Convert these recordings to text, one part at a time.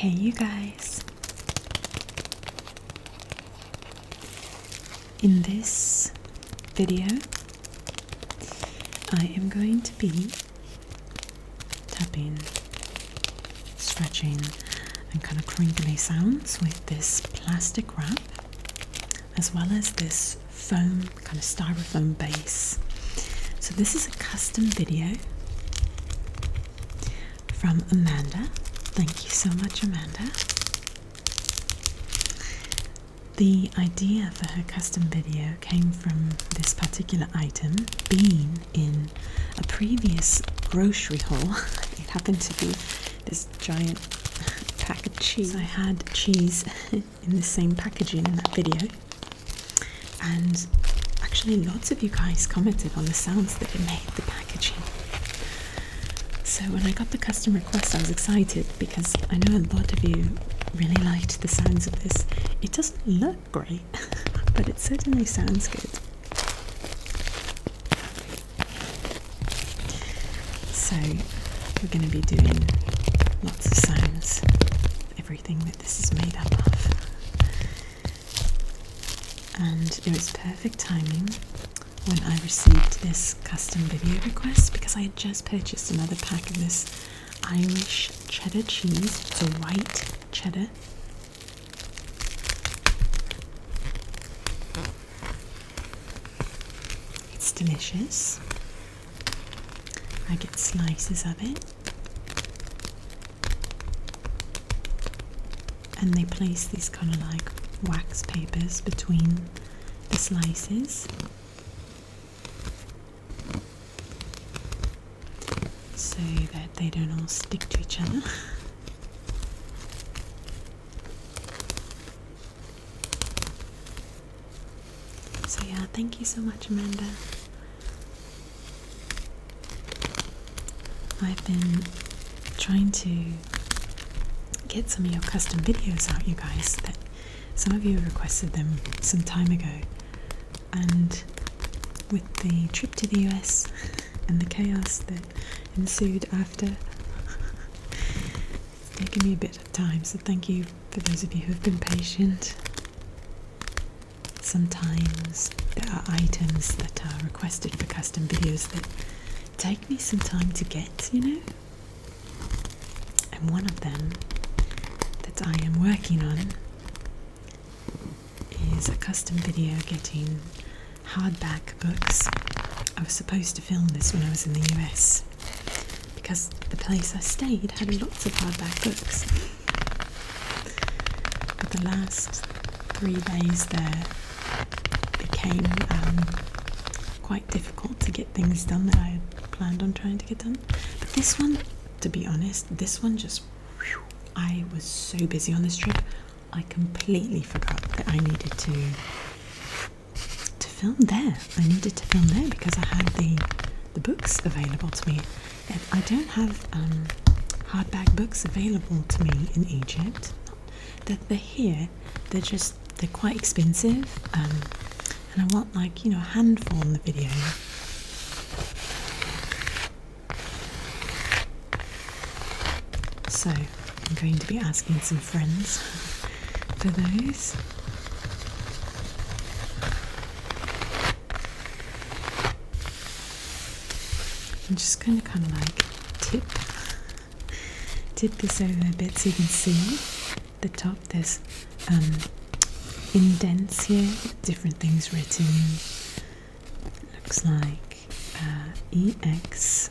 Hey, you guys. In this video, I am going to be tapping, stretching, and kind of crinkly sounds with this plastic wrap as well as this foam kind of styrofoam base. So this is a custom video from Amanda. Thank you so much Amanda. The idea for her custom video came from this particular item being in a previous grocery haul. it happened to be this giant pack of cheese. I had cheese in the same packaging in that video, and actually, lots of you guys commented on the sounds that it made the packaging. So, when I got the custom request, I was excited because I know a lot of you really liked the sounds of this. It doesn't look great, but it certainly sounds good. So, we're going to be doing lots of sounds, everything that this is made up of. And it was perfect timing when I received this custom video request because I had just purchased another pack of this Irish cheddar cheese. It's white cheddar. It's delicious. I get slices of it. And they place these kind of like wax papers between the slices. So that they don't all stick to each other. So, yeah, thank you so much, Amanda. I've been trying to get some of your custom videos out, you guys, that some of you requested them some time ago. And with the trip to the US and the chaos that ensued after, they give me a bit of time, so thank you for those of you who have been patient. Sometimes there are items that are requested for custom videos that take me some time to get, you know? And one of them that I am working on is a custom video getting hardback books. I was supposed to film this when I was in the US because the place I stayed had lots of hardback books. But the last three days there became um, quite difficult to get things done that I had planned on trying to get done. But this one, to be honest, this one just. I was so busy on this trip, I completely forgot that I needed to to film there. I needed to film there because I had the the books available to me. I don't have um, hardback books available to me in Egypt. That they're here, they're just they're quite expensive, um, and I want like you know a handful in the video. So I'm going to be asking some friends for those. I'm just going to kind of like tip, tip this over a bit so you can see the top. There's um, indents here, different things written. looks like uh, EX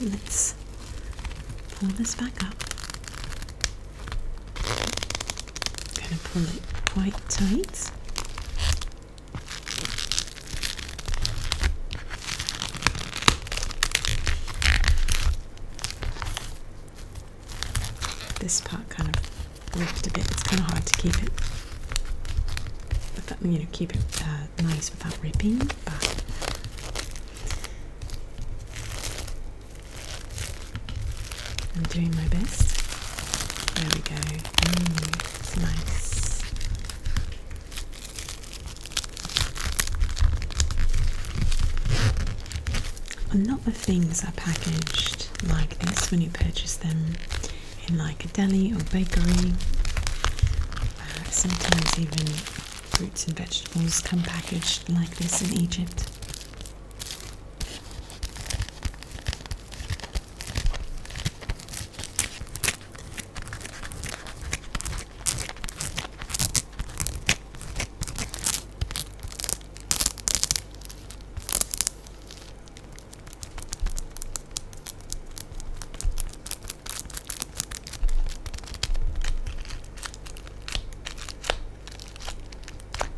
Let's pull this back up. I'm going to pull it quite tight. This part kind of ripped a bit. It's kind of hard to keep it, but that, you know, keep it uh, nice without ripping. I'm doing my best. There we go. Mm, nice. A lot of things are packaged like this when you purchase them in like a deli or bakery. Uh, sometimes even Fruits and vegetables come packaged like this in Egypt.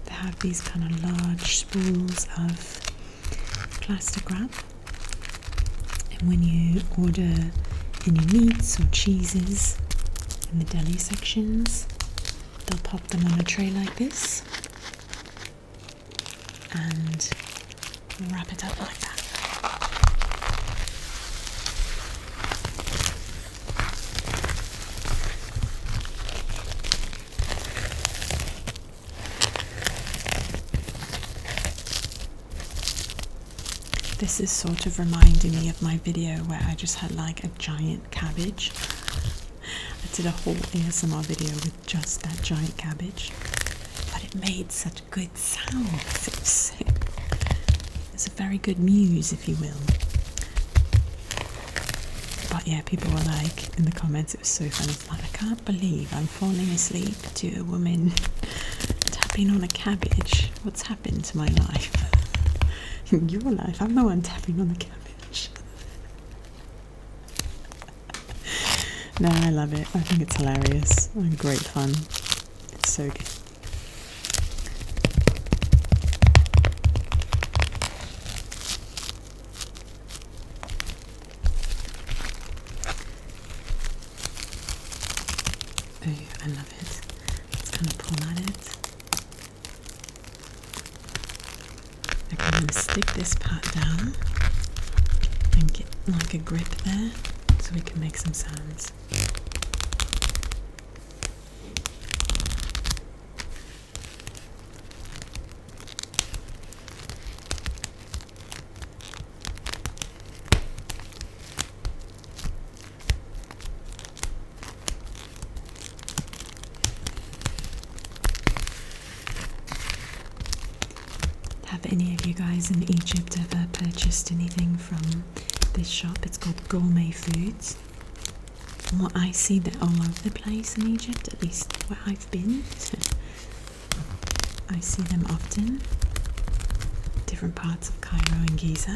They have these kind of large spools of plastic wrap, and when you order any meats or cheeses in the deli sections, they'll pop them on a tray like this and wrap it up like that. This is sort of reminding me of my video where I just had like a giant cabbage. I did a whole ASMR video with just that giant cabbage, but it made such good it It's, a very good muse, if you will. But yeah, people were like in the comments, it was so funny. I can't believe I'm falling asleep to a woman tapping on a cabbage. What's happened to my life? your life, I'm the one tapping on the cabbage. no, I love it. I think it's hilarious great fun. It's so good. I love it. It's kind of pull at it. I can then stick this part down and get like a grip there so we can make some sounds. Have any of you guys in Egypt ever purchased anything from this shop. It's called Gourmet Foods. what I see, they're all over the place in Egypt, at least where I've been. I see them often, different parts of Cairo and Giza.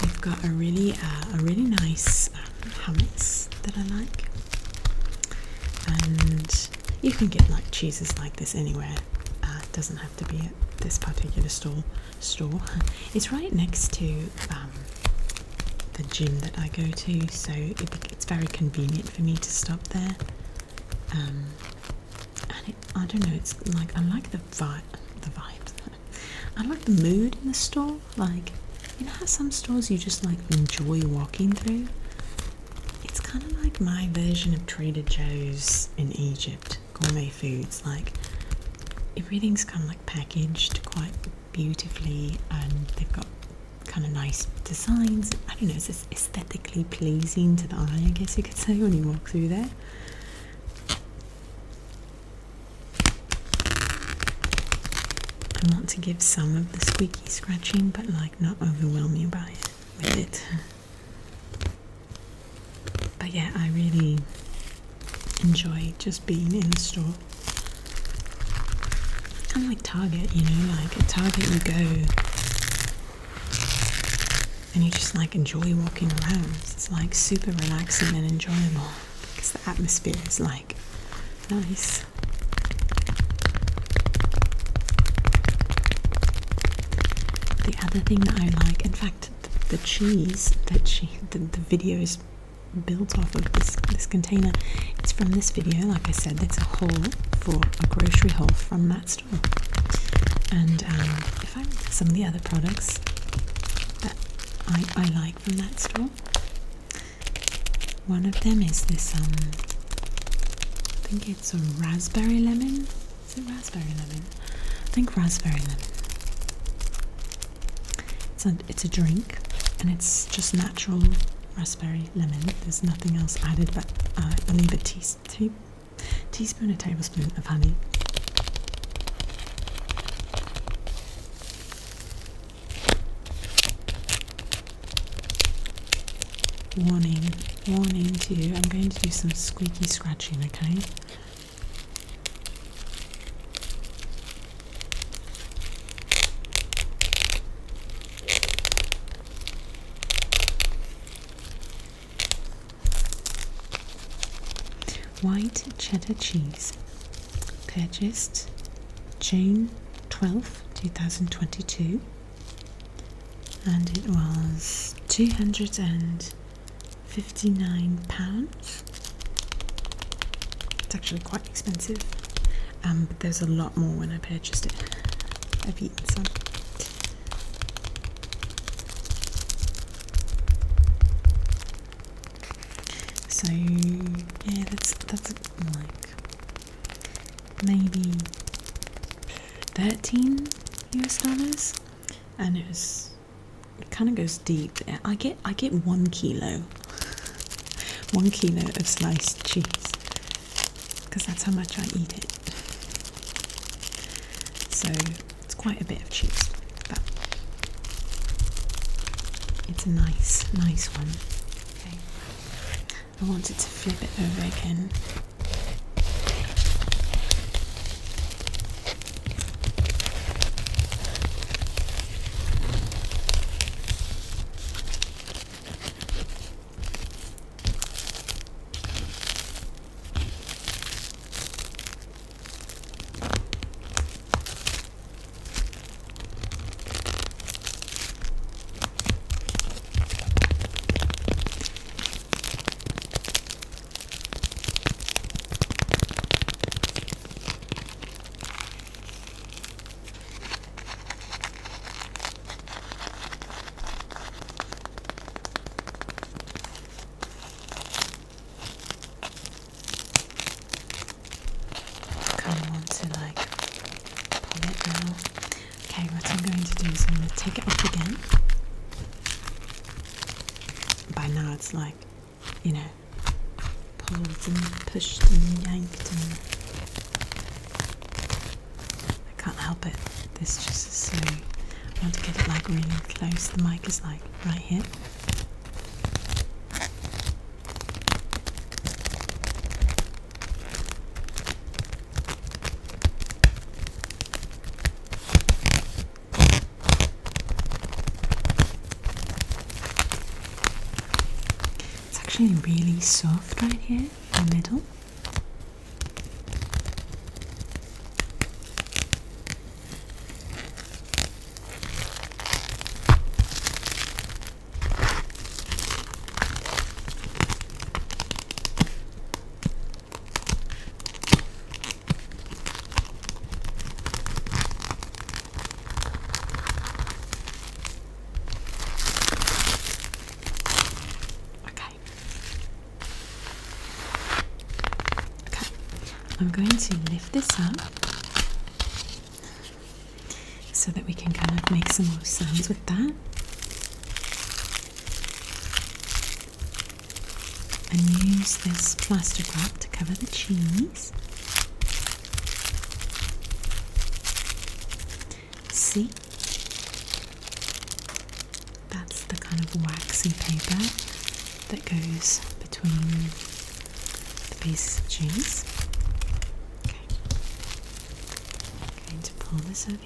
They've got a really, uh, a really nice um, hummus that I like, and you can get like cheeses like this anywhere. Uh, it. doesn't have to be at this particular store. Store. It's right next to um, the gym that I go to, so it's very convenient for me to stop there. Um, and I don't know. It's like I like the vibe. The vibe. I like the mood in the store. Like you know how some stores you just like enjoy walking through. It's kind of like my version of Trader Joe's in Egypt, gourmet foods. Like everything's kind of like packaged quite beautifully, and they've got kind of nice designs. I don't know, it's aesthetically pleasing to the eye, I guess you could say, when you walk through there. I want to give some of the squeaky scratching, but like not overwhelm you by it. But yeah, I really enjoy just being in the store. Kind of like Target, you know, like at Target you go and you just like enjoy walking around. It's like super relaxing and enjoyable because the atmosphere is like nice. The other thing that I like, in fact, the, cheese that she, the, the video is built off of this, this container. It's from this video, like I said, it's a haul for a grocery haul from that store. And um, if I some of the other products that I, I like from that store, one of them is this um, I think it's a raspberry lemon. Is it raspberry lemon? I think raspberry lemon. It's a, drink and it's just natural raspberry lemon. There's nothing else added but uh, I believe a teaspoon, teaspoon, a tablespoon of honey. Warning, warning to you, I'm going to do some squeaky scratching, okay? White cheddar cheese, purchased June 12th, 2022 and it was £259. It's actually quite expensive, um, but there's a lot more when I purchased it. I've eaten some. So yeah, that's that's like maybe 13 US dollars and it's kind of goes deep. I get I get one kilo, one kilo of sliced cheese because that's how much I eat it. So it's quite a bit of cheese, it's a nice, nice one. I wanted to flip it over again. Kind of want to like pull it now. Okay, what I'm going to do is I'm going to take it off again. By now it's like, you know, pulled and pushed and yanked and I can't help it. This just is so. I want to get it like really close. The mic is like right here. It's actually really soft right here in the middle. Okay. Okay. I'm going to lift this up so that we can kind of make some more sounds with that. And use this plastic wrap to cover the cheese. See? That's the kind of waxy paper that goes between the pieces of cheese. Okay. going to pull this over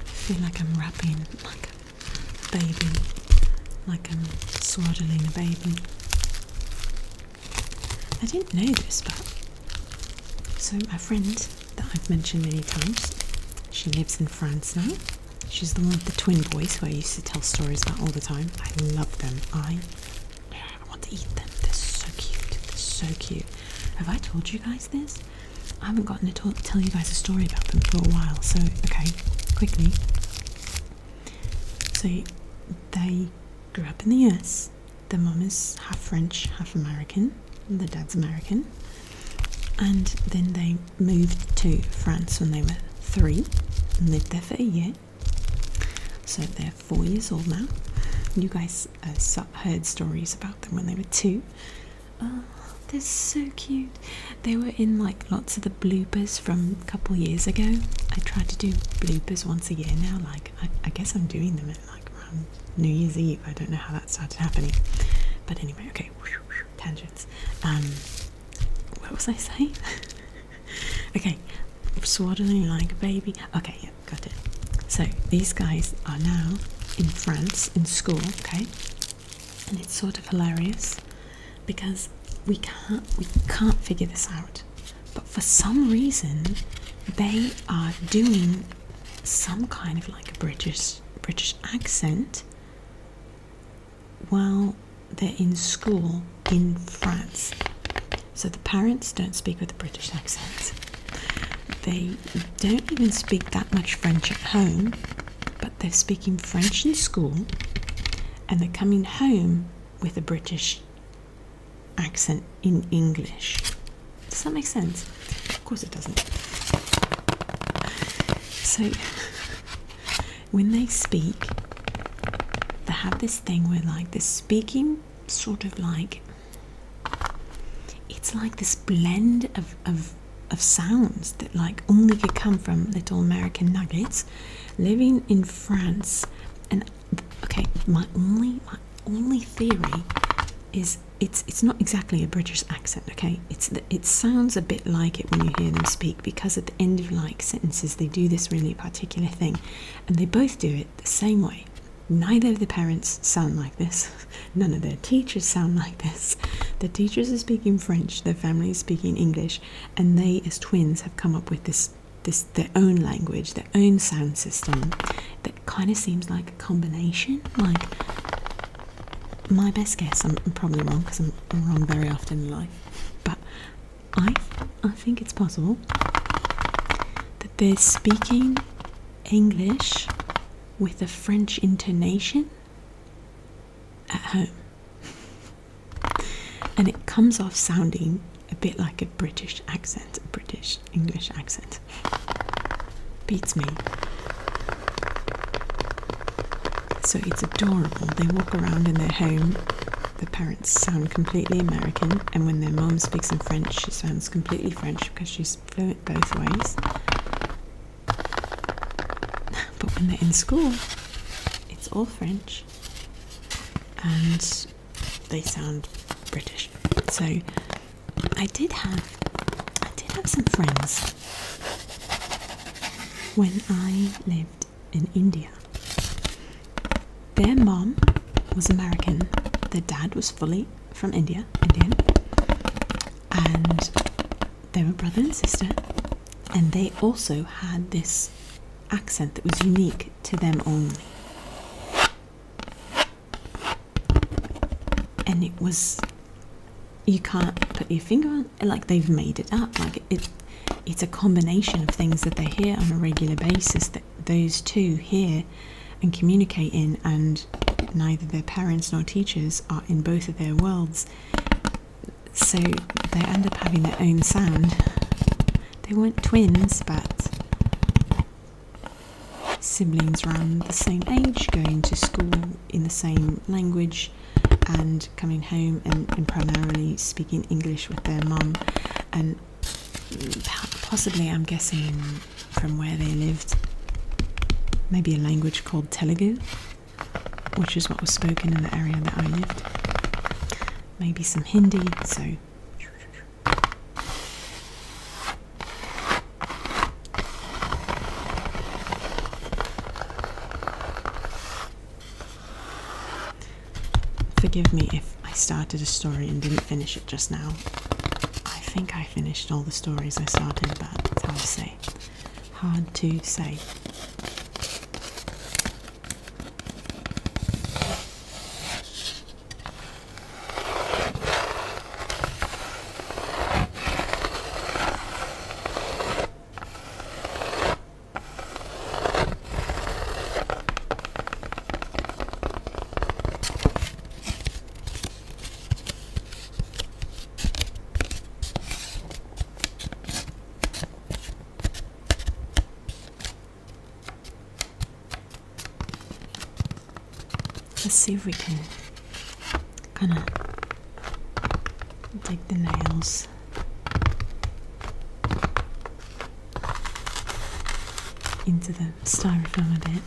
I feel like I'm wrapping like a baby, like I'm swaddling a baby. I didn't know this, but so my friend that I've mentioned many times, she lives in France now. She's the one with the twin boys who I used to tell stories about all the time. I love them. I I want to eat them. They're so cute. They're so cute. Have I told you guys this? I haven't gotten to tell you guys a story about them for a while. So, okay, quickly. So they grew up in the US. Their mom is half French, half American. Their dad's American. And then they moved to France when they were three and lived there for a year. So they're four years old now. You guys uh, heard stories about them when they were two. Oh, they're so cute. They were in like lots of the bloopers from a couple years ago. I try to do bloopers once a year now. Like I, guess I'm doing them at like New Year's Eve. I don't know how that started happening, but anyway, okay. Tangents. Um, what was I saying? okay, swaddling like a baby. Okay, yeah, got it. So these guys are now in France in school, okay, and it's sort of hilarious because we can't we can't figure this out, but for some reason they are doing some kind of like a British British accent. Well they're in school in France. So the parents don't speak with a British accent. They don't even speak that much French at home, but they're speaking French in school and they're coming home with a British accent in English. Does that make sense? Of course it doesn't. So when they speak, they have this thing where, like, the speaking sort of like it's like this blend of, of, of sounds that, like, only could come from little American nuggets living in France. And okay, my only, my only theory is it's it's not exactly a British accent, okay? It's the, it sounds a bit like it when you hear them speak because of end of like sentences they do this really particular thing and they both do it the same way neither of the parents sound like this none of their teachers sound like this the teachers are speaking french their family is speaking english and they as twins have come up with this this their own language their own sound system that kind of seems like a combination like my best guess i'm probably wrong because I'm wrong very often in life but I, I think it's possible that they're speaking English with a French intonation at home. and it comes off sounding a bit like a British accent, a British English accent. Beats me. So it's adorable. They walk around in their home, the parents sound completely American, and when their mom speaks in French, she sounds completely French because she's fluent both ways. But when they're in school, it's all French, and they sound British. So I did have, I did have some friends when I lived in India. Their mom was American, their dad was fully from India, Indian, and they were brother and sister, and they also had this accent that was unique to them only. And it was, you can't put your finger on like they've made it up, like it's a combination of things that they hear on a regular basis that those two hear and communicate in, and neither their parents nor teachers are in both of their worlds, so they end up having their own sound. They weren't twins, but siblings around the same age, going to school in the same language, and coming home and, primarily speaking English with their mum, and possibly I'm guessing from where they lived, maybe a language called Telugu, which is what was spoken in the area that I lived. Maybe some Hindi, so. Forgive me if I started a story and didn't finish it just now. I think I finished all the stories I started, but it's hard to say. Hard to say. Let's see if we can kind of take the nails into the styrofoam a bit.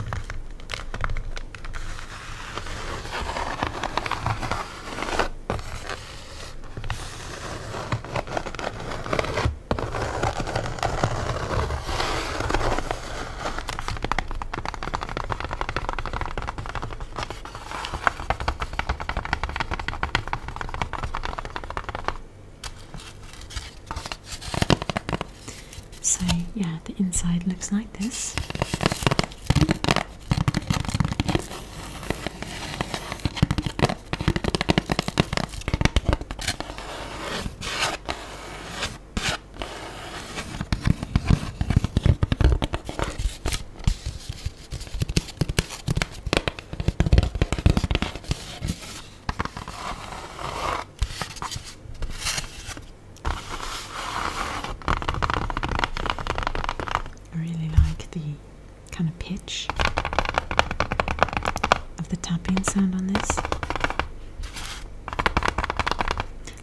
So, yeah, the inside looks like this. I really like the kind of pitch of the tapping sound on this.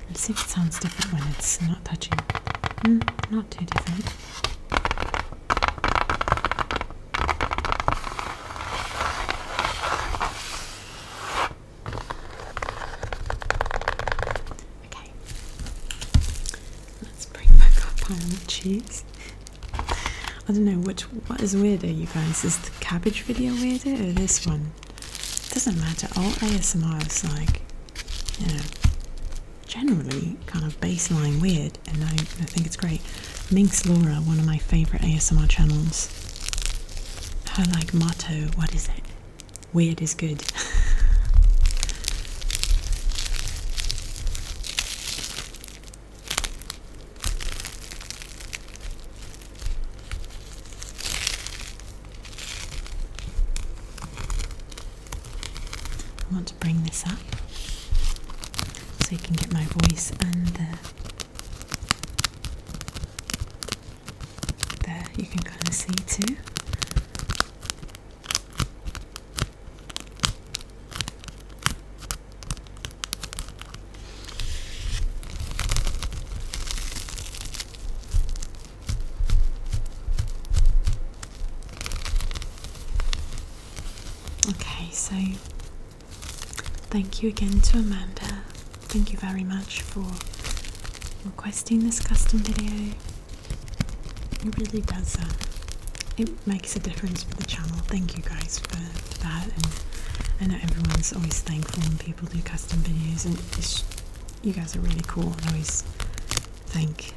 Let's see if it sounds different when it's not touching. Hmm, not too different. Okay, let's bring back our pile of cheese. I don't know which what is weirder, you guys. Is the cabbage video weirder or this one? doesn't matter. All ASMR is like, you generally kind of baseline weird, and I, think it's great. Minx Laura, one of my favorite ASMR channels, her like motto, what is it? Weird is good. I want to bring this up so you can get my voice and the. There, you can kind of see too. Okay, so thank you again to Amanda. Thank you very much for requesting this custom video. It really does, uh, it makes a difference for the channel. Thank you guys for, for that. And I know everyone's always thankful when people do custom videos, and you guys are really cool. I always thank,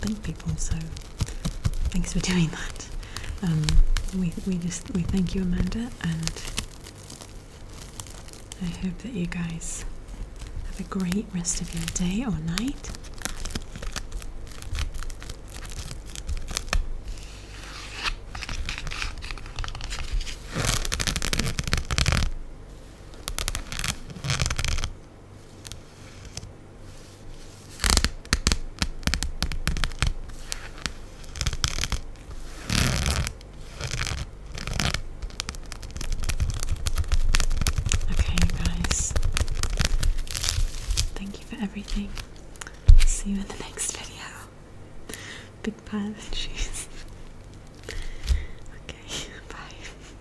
thank people, so Thanks for doing that. Um, we we just we thank you, Amanda, and I hope that you guys have a great rest of your day or night. Okay, guys. Thank you for everything. See you in the next video. Big pile of cheese. Okay, bye.